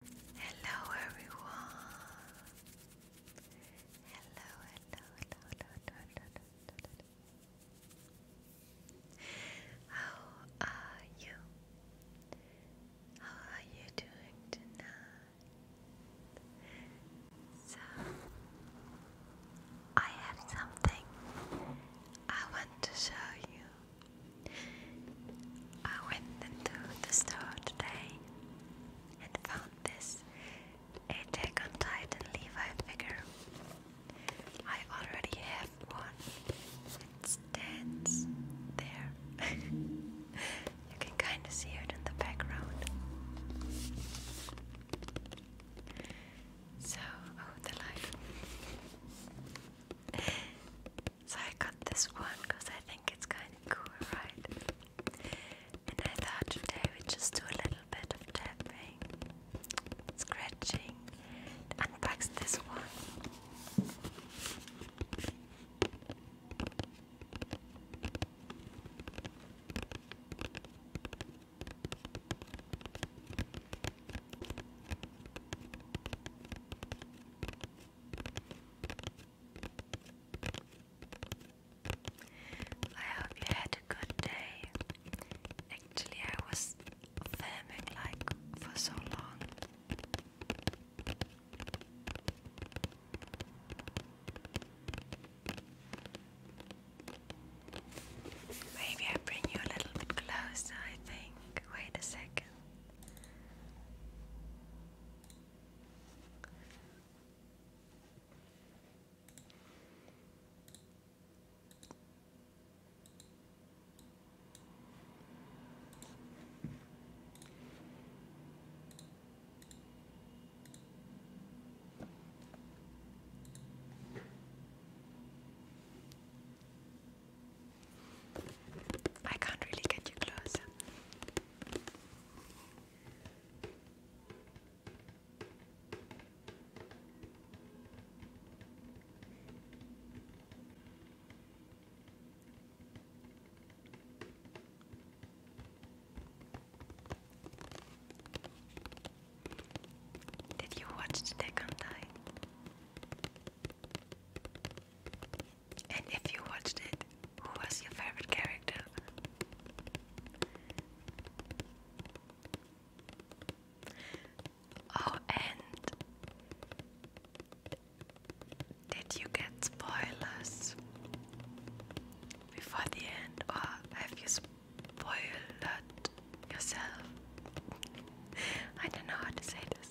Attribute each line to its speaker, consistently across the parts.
Speaker 1: Hello everyone. Hello, hello, hello, hello, hello, hello, How are you? How are you doing tonight? So I have something I want to show you. I went into the store today and found this Attack on Titan Levite figure. I already have one. It stands there. you can kind of see it in the background. So, oh, the light. So I got this one because I think it's kind of cool, right? And I thought today we would just do a little bit of tapping, scratching, and unbox this one. I hope you had a good day. Actually, I was filming like for so long. Maybe I bring you a little bit closer, I think. Wait a second. I can't really get you close. Did you watch the Dekantai? And if you watched it, who was your favorite character? Oh, and did you get spoilers before the end, or have you? boil that yourself. I don't know how to say this.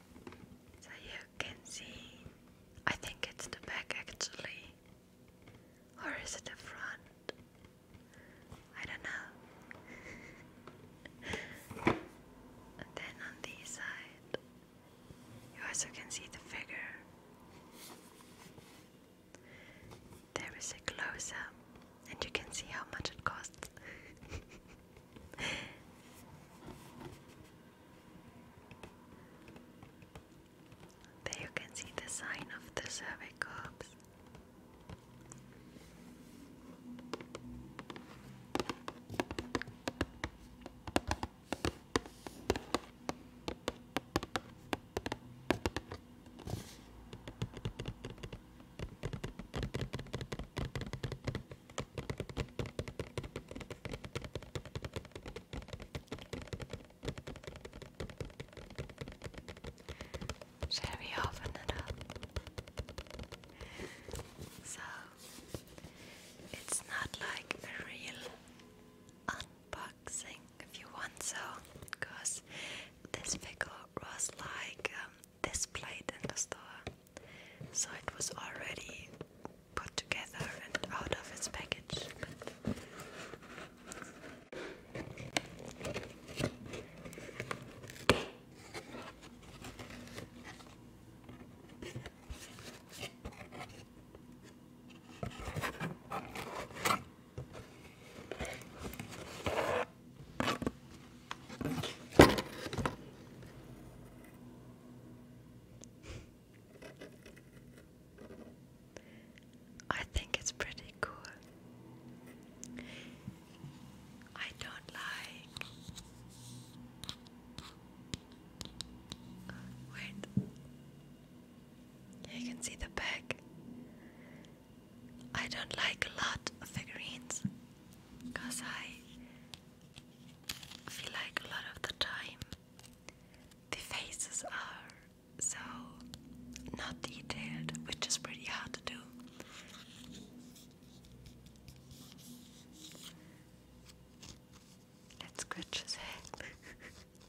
Speaker 1: So you can see, I think it's the back actually, or is it the front? I don't know. then on this side, you also can see the figure. There is a close up and you can see how much it costs. there you can see the sign of the survey Shall we open it up? So it's not like a real unboxing if you want so because this figure was like um, displayed in the store, so it was already put together and out of its package. I think it's pretty cool. I don't like. Wait. You can see the back. I don't like a lot of figurines because I feel like a lot of the time the faces are so not detailed, which is pretty hard to do. Let's scratch his head.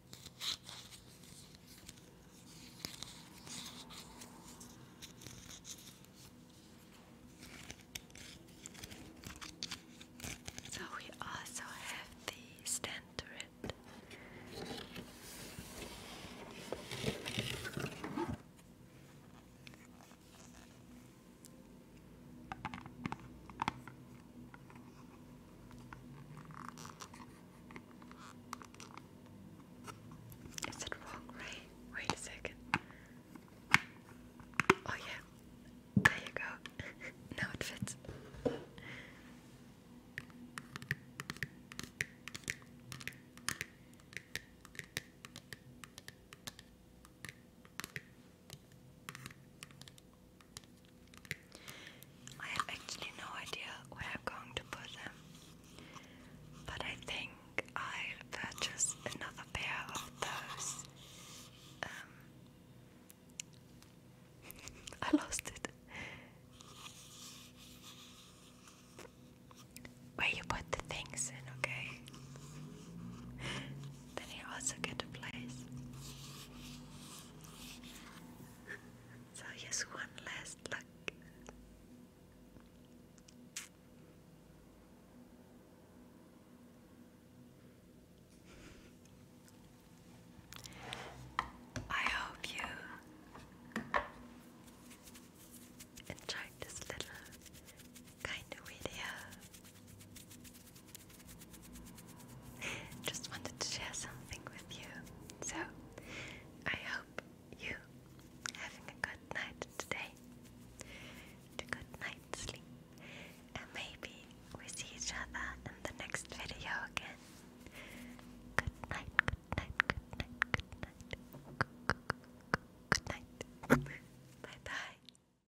Speaker 1: So we also have the stand is it wrong way? Wait a second. Oh yeah. There you go. now it fits. I have actually no idea where I'm going to put them, but I think I'll another pair of those. Um, I lost it. Where you put the things in, okay? Then you also get a place. So just one last look. I hope you enjoyed this little kind of video. Just wanted to share something with you. So, I hope you having a good night today. A good night's sleep. And maybe we see each other in the next video again. Good night, good night, good night, good night. Good night. Bye bye.